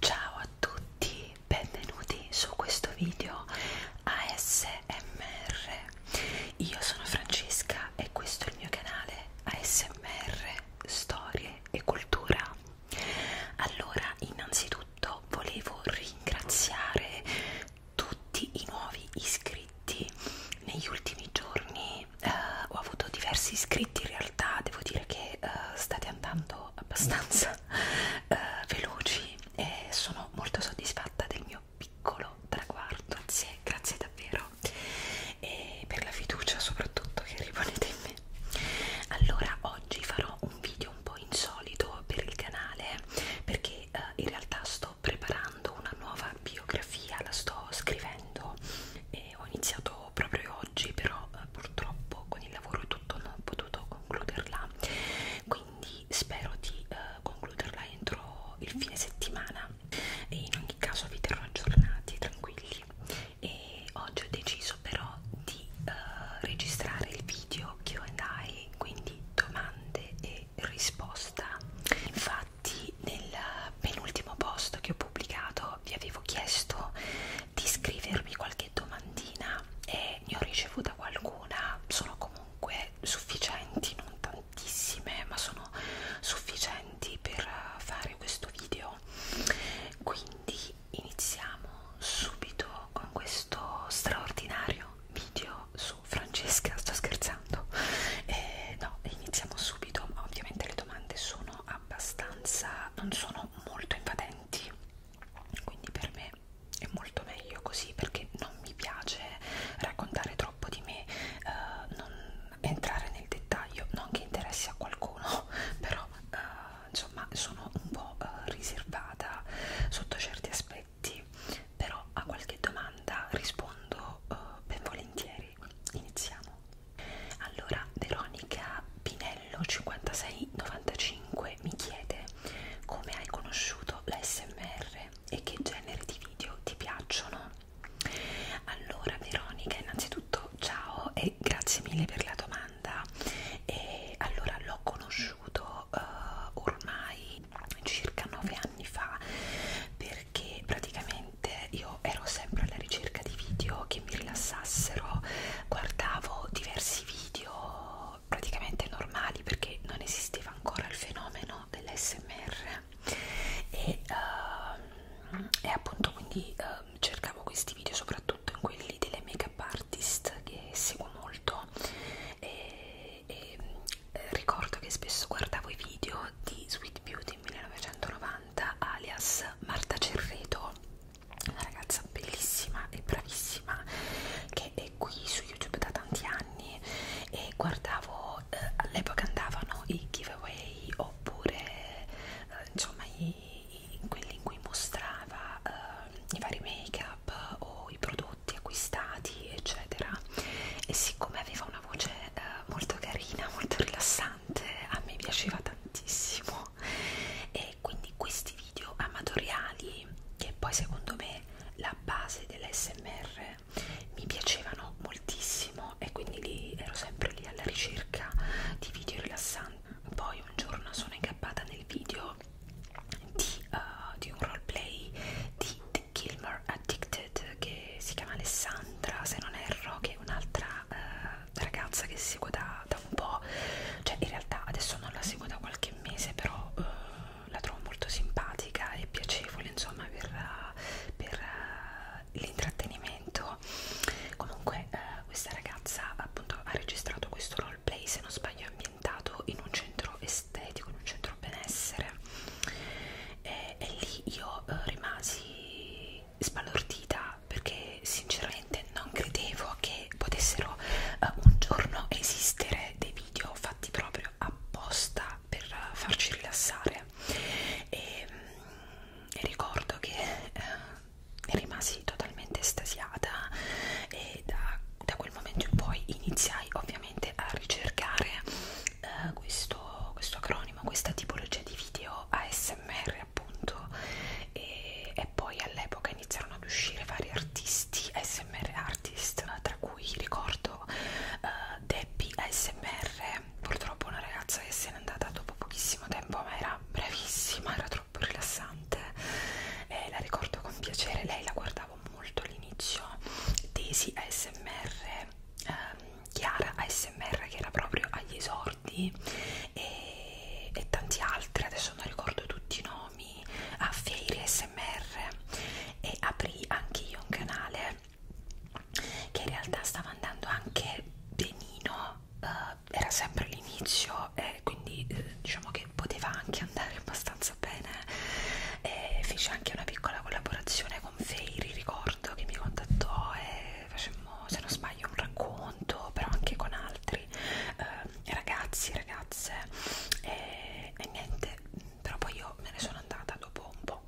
Ciao a tutti, benvenuti su questo video ASMR. Io sono Francesca e questo è il mio canale ASMR Storie e Cultura. Allora, innanzitutto volevo ringraziare tutti i nuovi iscritti. Negli ultimi giorni eh, ho avuto diversi iscritti in realtà, devo dire che eh, state andando abbastanza eh, veloci e sono molto soddisfatta del mio piccolo traguardo. Grazie, grazie davvero e per la fiducia soprattutto che riponete in me. Allora, oggi farò un video un po' insolito per il canale perché eh, in realtà sto preparando una nuova biografia, la sto scrivendo e ho iniziato volevo proprio oggi però eh, purtroppo con il lavoro e tutto non ho potuto concluderla quindi spero di eh, concluderla entro il fine settimana e in ogni caso vi terrò aggiornati tranquilli e oggi ho deciso però di eh, registrare il video Q&A quindi domande e risposta infatti nel penultimo post che ho pubblicato vi avevo chiesto di scrivermi qualche domandina e ne ho ricevuta qualcuna, sono comunque sufficienti, non tantissime, ma sono sufficienti per eh, fare questo video. Quindi iniziamo subito con questo straordinario video su Francesca, sto scherzando. Eh, no, iniziamo subito, ovviamente le domande sono abbastanza non sono molto invadenti quindi per me è molto meglio così perché non mi piace raccontare troppo di me, eh, non entrare nel dettaglio, non che interessi a qualcuno, però eh, insomma sono un po' eh, riservata sotto certi aspetti, però a qualche domanda rispondo eh, ben volentieri. Iniziamo. Allora, Veronica Pinello 5695 mi chiede come hai conosciuto l'ASMR e che generi di video ti piacciono. Allora, Veronica, innanzitutto ciao e grazie mille per la domanda. E allora, l'ho conosciuto uh, ormai circa 9 anni fa perché praticamente io ero sempre alla ricerca di video che che mi rilassassero guardavo diversi video praticamente normali perché non esisteva ancora il fenomeno dell'SMR e, uh, e appunto quindi uh, cercavo questi video soprattutto in quelli delle make up artist che seguo molto e, e ehm, ricordo che spesso guardavo i video di Sweet Beauty 1990 alias Marta Cerreto una ragazza bellissima e bravissima che è qui su YouTube da tanti anni e guardavo, eh, all'epoca andavano i giveaway oppure eh, insomma i, i, quelli in cui mostrava eh, i vari make up o i prodotti acquistati eccetera e siccome aveva una voce eh, molto carina, molto rilassante a me piaceva tantissimo no e quindi questi video amatoriali che poi secondo me la base dell'SMR mi piacevano moltissimo e quindi lì ero sempre lì alla ricerca di video rilassanti poi un giorno sono incappata nel video di, uh, di un roleplay di The Gilmore Addicted che si chiama Alessandra se non erro che è un'altra una eh, ragazza che seguo da, da un po', cioè in realtà adesso non la seguo da qualche mese, però eh, la trovo molto simpatica e piacevole insomma per, per eh, l'intrattenimento. Comunque eh, questa ragazza appunto ha registrato questo roleplay, se non sbaglio ambientato in un centro estetico, in un centro benessere. E, e lì io eh, rimasi sbalordita perché sinceramente non credevo che potessero eh, un giorno esistere dei video fatti proprio apposta per farci rilassare e, mm, e ricordo che eh, rimasi totalmente estasiata e da, da quel momento in poi iniziai ovviamente a ricercare eh, questo, questo acronimo, questa tipologia di video ASMR appunto e, e poi all'epoca iniziarono ad uscire vari artisti ASMR artist tra cui ricordo uh, Debbie ASMR purtroppo una ragazza che se n'è andata dopo pochissimo tempo ma era bravissima era troppo rilassante e la ricordo con piacere lei la guardavo molto all'inizio Daisy ASMR ehm, Chiara ASMR che era proprio agli esordi e, e tanti altri, adesso non ricordo tutti i nomi, a ah, Feiri SMR e aprì anche io un canale che in realtà stava andando anche benino, uh, era sempre l'inizio e quindi eh, diciamo che poteva anche andare abbastanza bene e fece anche una piccola collaborazione con Feiri, ricordo che mi contattò e facemmo se non sbaglio un racconto però anche con altri eh, ragazzi ragazze e, e niente però poi io me ne sono andata dopo un po'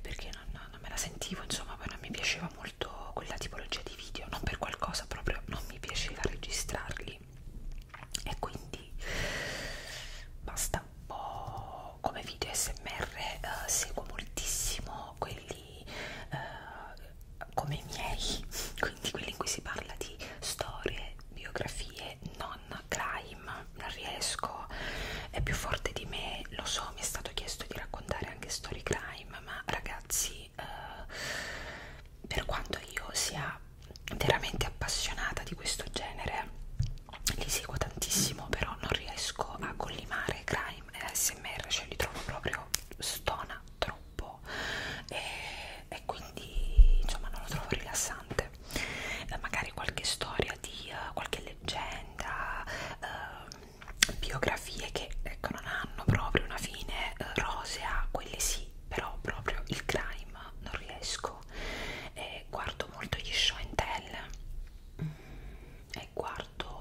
perché non, non me la sentivo insomma poi non mi piaceva molto quella tipologia di video non per qualcosa proprio non mi piaceva registrarli e quindi basta un po' come video smr eh, seguo moltissimo quelli quelli eh, come i miei, quindi quelli in cui si parla di storie, biografie, non crime, non riesco, è più forte di me, lo so, mi è stato chiesto di raccontare anche story crime, ma ragazzi, eh, per quanto io sia veramente appassionata di questo genere, li seguo tantissimo, però non riesco a collimare crime e ASMR, cioè li trovo proprio stona troppo troppo e, e quindi insomma non lo trovo rilassante eh, magari qualche storia di uh, qualche leggenda uh, biografie che ecco non hanno proprio una fine uh, rosea quelle sì però proprio il crime non riesco eh, guardo molto gli show and tell mm, e guardo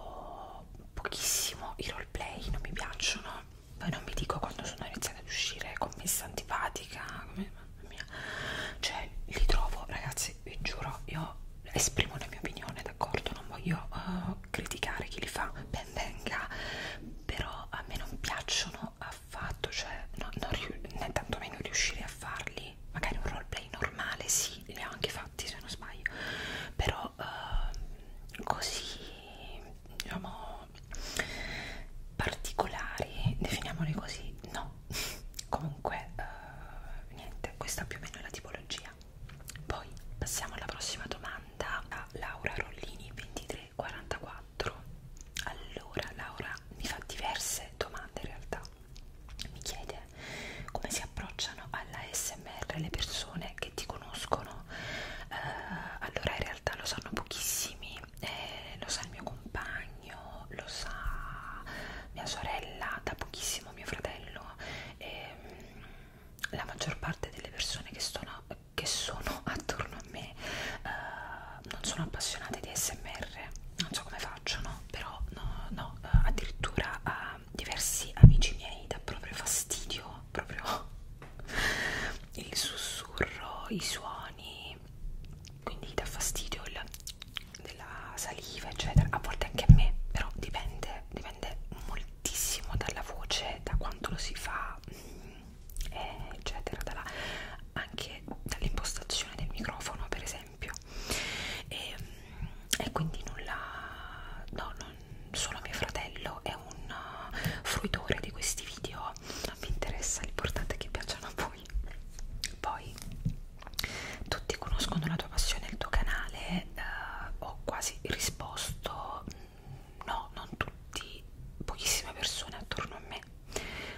gioco pochissimo i roleplay, non mi piacciono. Poi non vi dico quando sono iniziata ad uscire con Miss Antipatica, come, mamma mia. Cioè, li trovo, ragazzi, vi giuro, io esprimo la mia opinione, d'accordo? Non voglio uh, criticare chi li fa, ben venga, però a me non piacciono affatto, cioè, no, non né tantomeno riuscire a farli. Magari un roleplay normale, sì, li ho anche fatti se non sbaglio, però uh, così diciamo particolari definiamoli così no comunque eh, niente questa è più o meno la tipologia poi passiamo alla prossima domanda a Laura Rollini 2344 allora Laura mi fa diverse domande in realtà mi chiede come si approcciano a all'ASMR le persone che ti conoscono eh, allora in realtà lo sanno pochissimi eh, lo sa il mio compagno lo sa mia sorella da pochissimo mio fratello eh, la maggior parte delle persone che sono, che sono attorno a me eh, non sono appassionate di ASMR non so come faccio no però no no eh, addirittura a a diversi amici miei dà proprio fastidio, proprio il sussurro, i suoni, quindi dà fastidio il, della saliva, eccetera. A volte anche a me, però dipende, dipende moltissimo dalla voce, da quanto lo si fa, mm, eh, eccetera, dalla, anche dall'impostazione del microfono, per esempio. E, mm, e quindi nulla, no, non, solo mio fratello è un uh, fruitore di questi video mi interessa l'importante è che piacciono a voi poi tutti conoscono la tua passione il tuo canale uh, ho quasi risposto mm, no non tutti pochissime persone attorno a me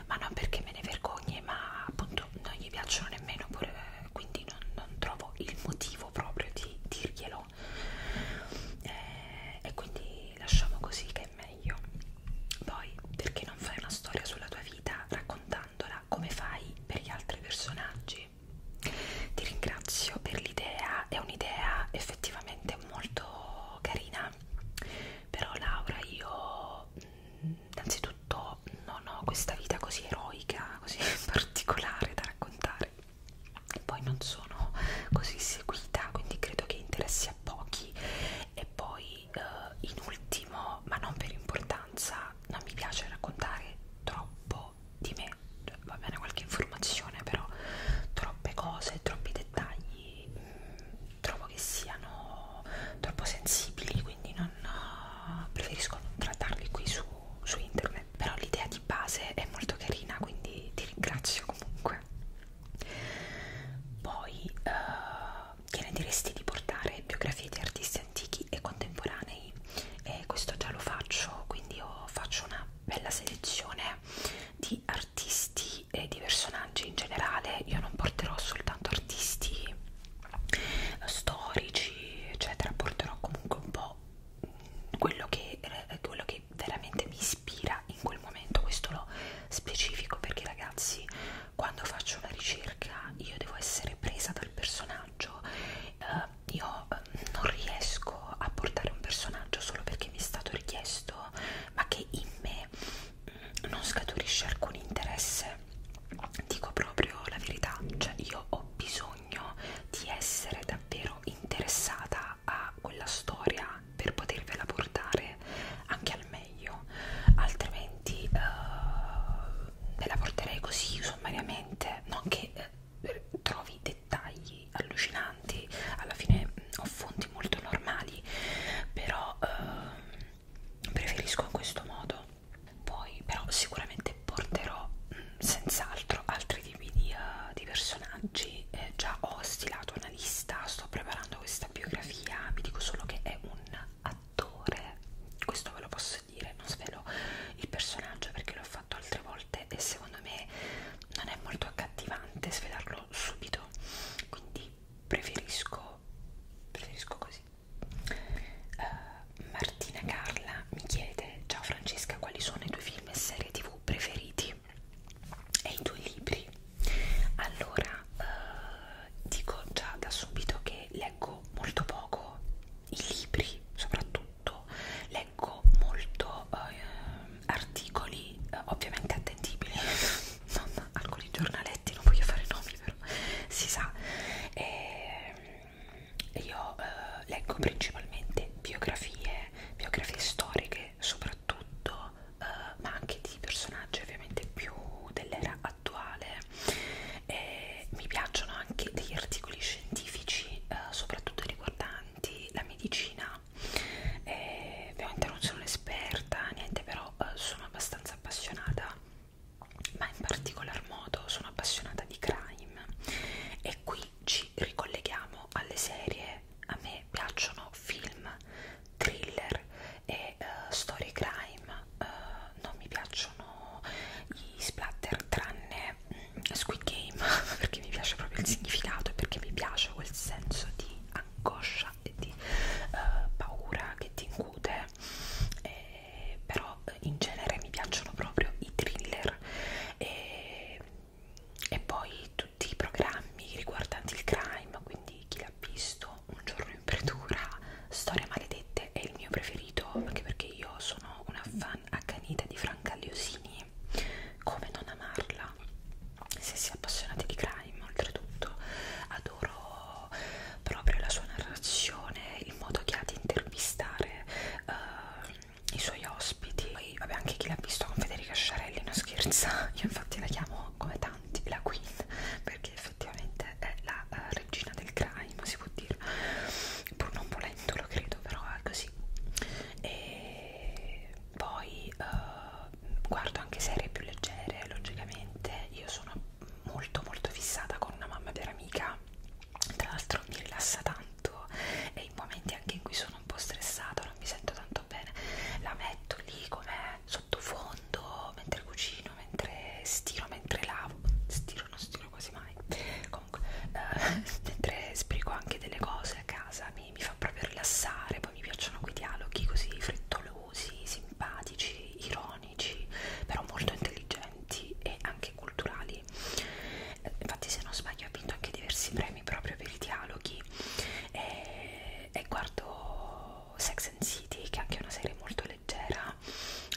ma non perché me ne vergogni ma appunto non gli piacciono nemmeno pure, quindi non, non trovo il motivo proprio di dirglielo quello eh, e quindi lasciamo così che è meglio poi perché non fai una storia sulla tua vita raccontandola come fai per gli altri personaggi ti ringrazio per l'idea è un'idea effettivamente molto carina però Laura io mm, innanzitutto non ho questa vita così eroica così particolare da raccontare poi non sono così seguita quindi credo che interessi a pochi e poi eh, in ultimo ma non per importanza non mi piace raccontare troppo di me cioè, va bene qualche informazione però troppe cose troppi dettagli mh, mm, trovo che siano troppo sensibili quindi non uh, preferisco non trattarli qui su su internet però l'idea di base è molto carina quindi ti ringrazio comunque poi uh, che ne diresti di portare biografie di artisti antichi e contemporanei e questo già lo faccio quindi io faccio una bella selezione di artisti e di personaggi in generale io non porterò soltanto artisti eh, storici eccetera porterò comunque un po' quello che, eh, quello che veramente mi ispira in quel momento questo lo specifico perché ragazzi quando faccio una ricerca io devo essere presa dal personaggio eh, io eh, non riesco a portare un personaggio solo perché mi è stato richiesto ma che in me mm, non scaturisce alcun interesse dico proprio la verità cioè io ho bisogno bisogno di essere davvero interessata a quella storia per potervela portare anche al meglio altrimenti uh, eh, ve la porterei così sommariamente non che uh, trovi dettagli allucinanti alla fine mm, ho fonti molto normali però uh, preferisco in questo modo poi però sicuramente porterò mm, senz'altro altri tipi di, uh, di personaggi eh, già ho stilato una lista sto preparando questa biografia vi dico solo che è un attore questo ve lo posso dire non svelo il personaggio perché l'ho fatto altre volte e secondo me non è molto accattivante svelarlo subito quindi preferisco preferisco così uh, Martina Carla mi chiede chiede ciao Francesca quali sono i tuoi film e serie tv preferiti e i tuoi libri allora eh, dico già da subito che leggo molto poco i libri soprattutto leggo molto eh, articoli eh, ovviamente attendibili non alcuni giornaletti non voglio fare nomi però si sa e, ehm, io eh, leggo principalmente biografie, biografie storiche soprattutto, eh, ma anche di personaggi ovviamente più dell'era attuale. E mi piacciono anche degli articoli scientifici, eh, soprattutto riguardanti la medicina. E, ovviamente non sono un'esperta, niente, però eh, sono abbastanza appassionata ma in particolar modo sono appassionata di crime e qui ci ricolleghiamo alle serie, a me piacciono film, thriller e uh, story crime, uh, non mi piacciono gli splatter tranne mm, Squid Game perché mi piace proprio il significato e perché mi piace quel senso di angoscia e di uh, paura che ti incute, eh, però in genere mi piacciono proprio i thriller computer e, e poi tutti i programmi riguardanti il crime quindi chi l'ha visto un giorno in verdura storie maledette è il mio preferito anche perché io sono una fan accanita di Franca Liosini come non amarla se si è appassionati di crime oltretutto adoro proprio la sua narrazione il modo che ha di intervistare uh, i suoi ospiti poi vabbè anche chi l'ha visto con Federica Sciarelli non scherza io infatti la chiamo come tanti la Queen perché effettivamente è la uh, regina del crime si può dire pur non volendo lo credo però è così e poi uh, guardo anche serie più leggere logicamente io sono molto molto fissata con una mamma vera amica tra l'altro mi rilassa tanto e i momenti anche in cui sono un po' stressata, non mi sento tanto bene, la metto lì come sottofondo mentre cucino, mentre stiro, mentre lavo, stiro non stiro quasi mai, comunque eh, mentre sbrigo anche delle cose a casa, mi, mi fa proprio rilassare, poi mi piacciono quei dialoghi così frettolosi, simpatici, ironici, però molto intelligenti docenti e anche culturali eh, infatti se non sbaglio ha vinto anche diversi premi proprio per i dialoghi e, e guardo Sex and City che è anche una serie molto leggera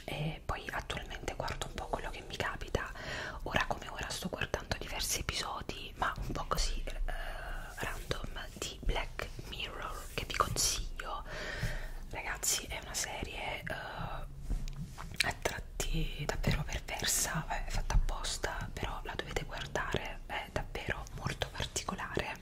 e poi attualmente guardo un po' quello che mi capita ora come ora sto guardando diversi episodi ma un po' così eh, random di Black Mirror che vi consiglio ragazzi è una serie eh, a tratti davvero perversa, è fatta apposta, però la dovete guardare, è davvero molto particolare.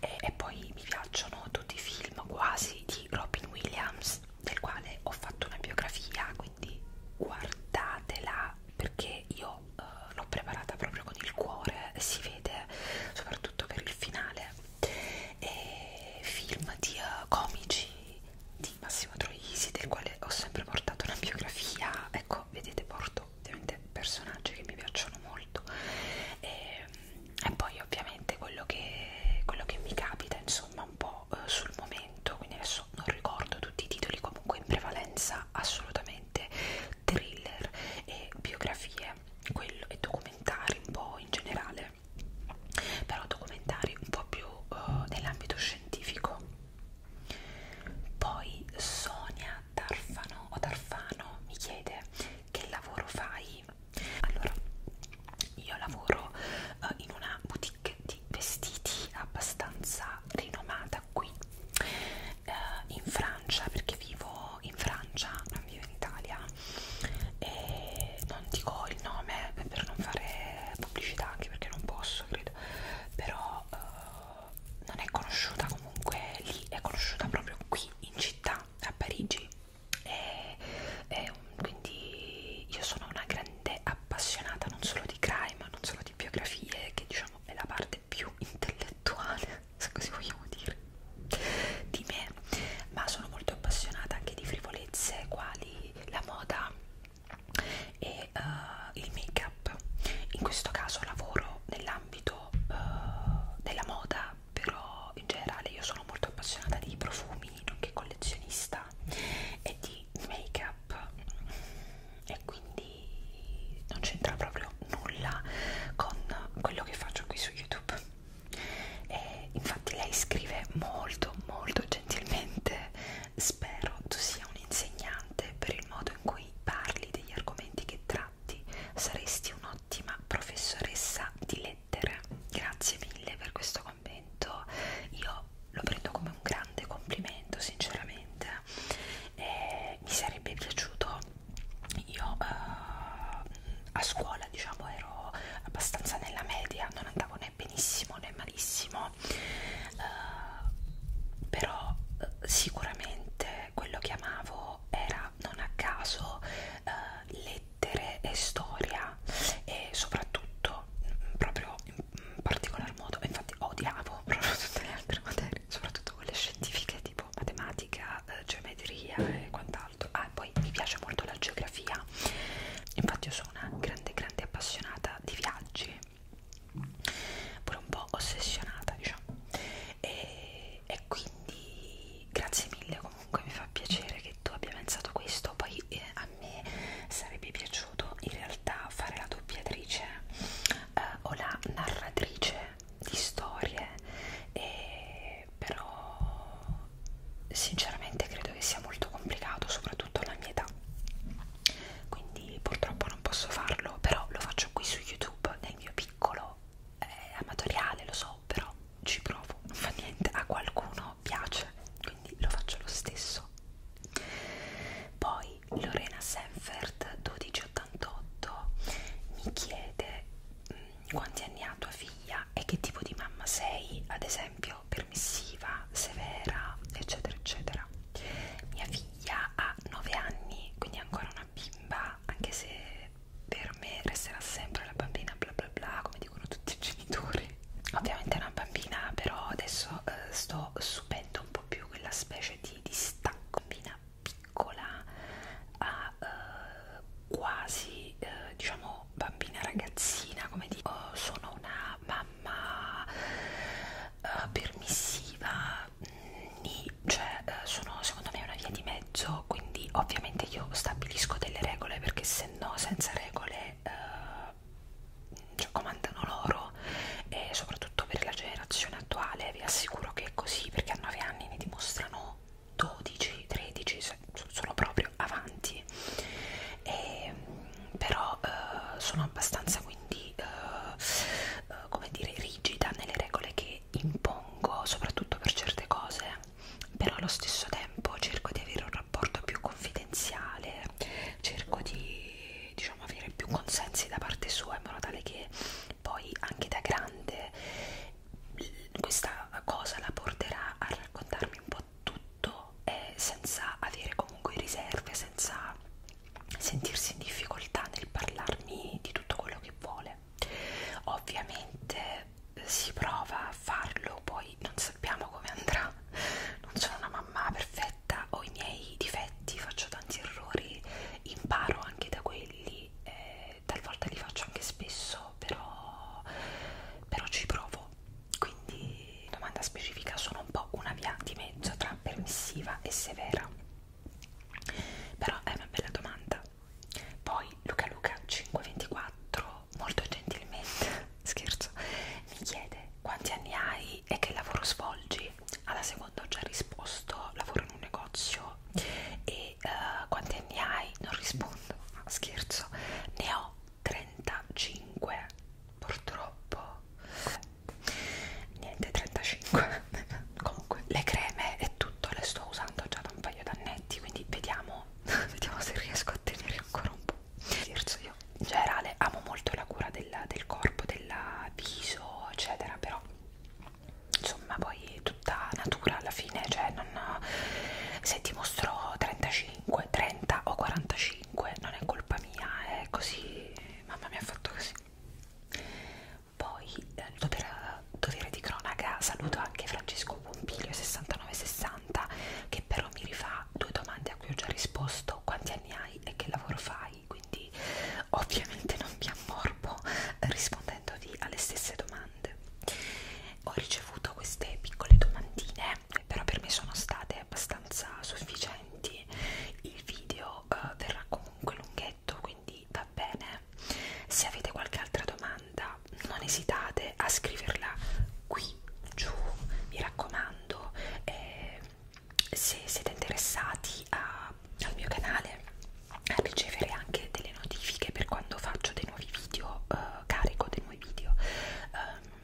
E, e poi mi piacciono tutti i film quasi di Robin Williams, del quale ho fatto una biografia, quindi guardatela perché io eh, l'ho preparata proprio con il cuore, si vede soprattutto per il finale. E film di uh, comici, di Massimo Troisi del quale ho sempre portato una biografia ecco vedete porto ovviamente personaggi che mi piacciono molto e, ehm, e poi ovviamente quello che, quello che mi capita insomma un po' eh, sul momento quindi adesso non ricordo tutti i titoli comunque in prevalenza assolutamente thriller e biografie quello, e documentari un po' in generale però documentari un po' più uh, nell'ambito scientifico poi Sonia Tarfano o Tarfano mi chiede che lavoro fai allora io lavoro uh, in una boutique di vestiti abbastanza rinomata qui uh, in Francia perché vivo in Francia non vivo in Italia e non dico il nome per non fare pubblicità anche perché non posso credo però eh, non è conosciuta comunque lì è conosciuta proprio qui in città a Parigi e, e un, quindi io sono una grande appassionata non solo di crime non solo di biografie che diciamo è la parte più intellettuale se così vogliamo dire di me ma sono molto appassionata anche di frivolezze quali la moda e uh, il make up in questo caso lavoro nell'ambito uh, della moda però in generale io sono molto appassionata di profumi nonché collezionista e di make up e quindi non c'entra proprio nulla con quello che faccio qui su youtube e infatti lei scrive molto molto gentilmente Spero tu sia un insegnante per il modo in cui parli degli argomenti che tratti. Saresti un'ottima professoressa di lettere. Grazie mille per questo commento. Io lo prendo come un grande complimento, sinceramente. E mi sarebbe piaciuto, io eh, a scuola diciamo ero abbastanza nella media, non andavo né benissimo né malissimo uh, però uh, sicuramente quello che amavo era non a caso uh, lettere e storia e soprattutto mm, proprio in particolar modo infatti odiavo proprio tutte le altre materie soprattutto quelle scientifiche tipo matematica geometria e quant'altro ah e poi mi piace molto la geografia infatti io sono sono una grande grande appassionata di viaggi pure un po' ossessionata diciamo e, e quindi grazie mille comunque mi fa piacere che tu abbia pensato questo poi eh, a me sarebbe piaciuto in realtà fare la doppiatrice eh, o la narratrice di storie e però sinceramente credo che sia molto complicato soprattutto alla mia età quindi purtroppo non posso farlo però lo faccio qui su youtube nel mio piccolo eh, amatoriale lo so però ci provo non fa niente a qualcuno piace quindi lo faccio lo stesso poi Lorena Senfert 1288 mi chiede mh, mm, quanti anni ha tua figlia e che tipo di mamma sei ad esempio dirlo, permissiva, severa, eccetera, eccetera. Mia figlia ha 9 anni, quindi è ancora una bimba, anche se per me resterà sempre la bambina bla bla bla, come dicono tutti i genitori. Ovviamente è una bambina, però adesso eh, sto subendo un po' più quella specie di distacco. Bambina piccola ha eh, quasi, eh, diciamo, bambina ragazzina, come dico, oh, sono una mamma uh, permissiva, mm, ni, cioè uh, sono secondo me una via di mezzo, quindi ovviamente io stabilisco delle regole perché se no senza regole uh, cioè, comandano loro e soprattutto per la generazione attuale vi assicuro che è così perché a 9 anni ne dimostrano 12, 13, cioè, sono proprio avanti e, ehm, però eh, sono abbastanza quindi eh, eh, come dire rigida nelle regole che impongo soprattutto per certe cose però allo stesso tempo cerco di avere un rapporto più confidenziale cerco di diciamo avere più consensi da parte sua in modo tale che poi anche da grande questa cosa la porterà a raccontarmi un po' tutto eh, senza avere comunque riserve, senza sentirsi in difficoltà nel parlarmi di tutto quello che vuole. Ovviamente eh, si prova a farlo, poi non sappiamo come andrà. Non sono una mamma perfetta, ho i miei difetti, faccio tanti errori, imparo anche da quelli, eh, talvolta li faccio anche spesso, però, però ci provo quindi, domanda specifica, sono un po' una via di mezzo tra permissiva e severa. Però è una bella domanda. Poi Luca Luca 524 molto gentilmente, scherzo, mi chiede quanti anni hai e che lavoro svolgi. Alla seconda ho già risposto, lavoro in un negozio e uh, quanti anni hai? Non rispondo, ah, scherzo, ne ho 35 purtroppo niente 35 comunque le creme e tutto le sto usando già da un paio d'annetti quindi vediamo vediamo se riesco a tenere ancora un po' scherzo io in generale amo molto la cura del, del corpo del viso eccetera però insomma poi tutta natura alla fine cioè non se ti mostrò 35 o 30 o 45 non è colpa mia è così mamma mi ha fatto così poi eh, dover, dovere di cronaca saluto anche Francesco Pompilio 6960 che però mi rifà due domande a cui ho già risposto quanti anni hai e che lavoro fai quindi ovviamente non mi ammorbo rispondendoti alle stesse domande ho ricevuto queste piccole domandine però per me sono state abbastanza sufficienti il video eh, verrà comunque lunghetto quindi va bene se avete qualche altra domanda non esitate a scriverla qui giù mi raccomando eh, se siete interessati a, al mio canale a ricevere anche delle notifiche per quando faccio dei nuovi video eh, carico dei nuovi video eh,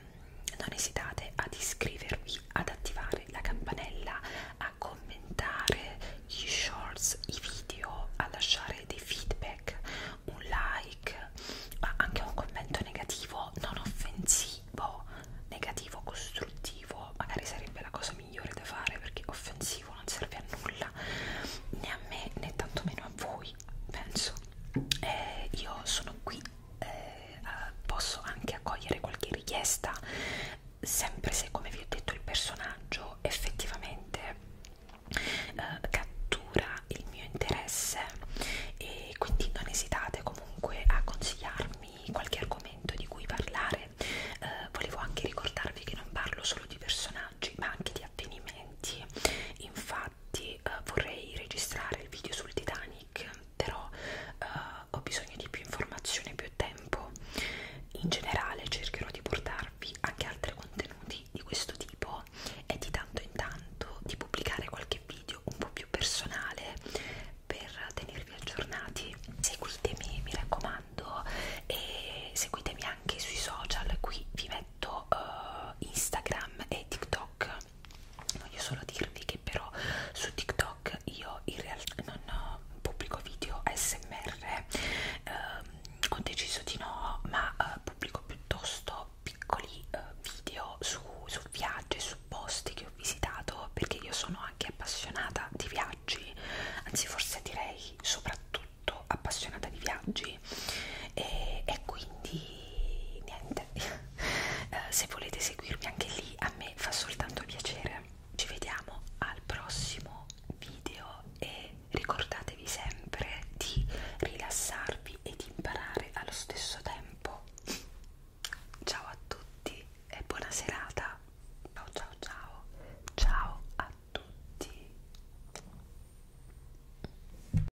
non esitate ad iscrivervi, ad attivare la campanella, a commentare gli shorts, i video, a lasciare dei feedback, un like, ma anche un commento negativo, non offensivo, negativo, costruttivo, magari sarebbe la cosa migliore da fare perché offensivo non serve a nulla, né a me né tantomeno a voi penso eh, io sono qui eh, posso anche accogliere qualche richiesta sempre se come vi ho detto il personaggio effettivamente eh, cattura il mio interesse e quindi non esitate comunque a consigliarmi qualche argomento di cui parlare eh, volevo anche ricordarvi che non parlo solo di personaggi ma anche di avvenimenti infatti infatti eh, vorrei registrare il video sul Titanic però eh, ho bisogno di più informazioni e più tempo in generale cercherò di portarvi anche altri contenuti di questo tipo e di tanto in tanto di pubblicare qualche video un po' più personale per tenervi aggiornati seguitemi mi raccomando e seguitemi anche sui social qui vi metto uh, Instagram e TikTok voglio solo dirvi che però su TikTok io in realtà non eh, pubblico video ASMR ehm, ho deciso di no ma eh, pubblico piuttosto piccoli eh, video su, su viaggi su posti che ho visitato perché io sono anche appassionata di viaggi anzi forse direi soprattutto appassionata di viaggi oggi e, e quindi niente eh, se volete seguirmi anche lì a me fa soltanto piacere ci vediamo al prossimo video e ricordatevi sempre di rilassarvi e di imparare allo stesso tempo ciao a tutti e buona serata ciao ciao ciao ciao a tutti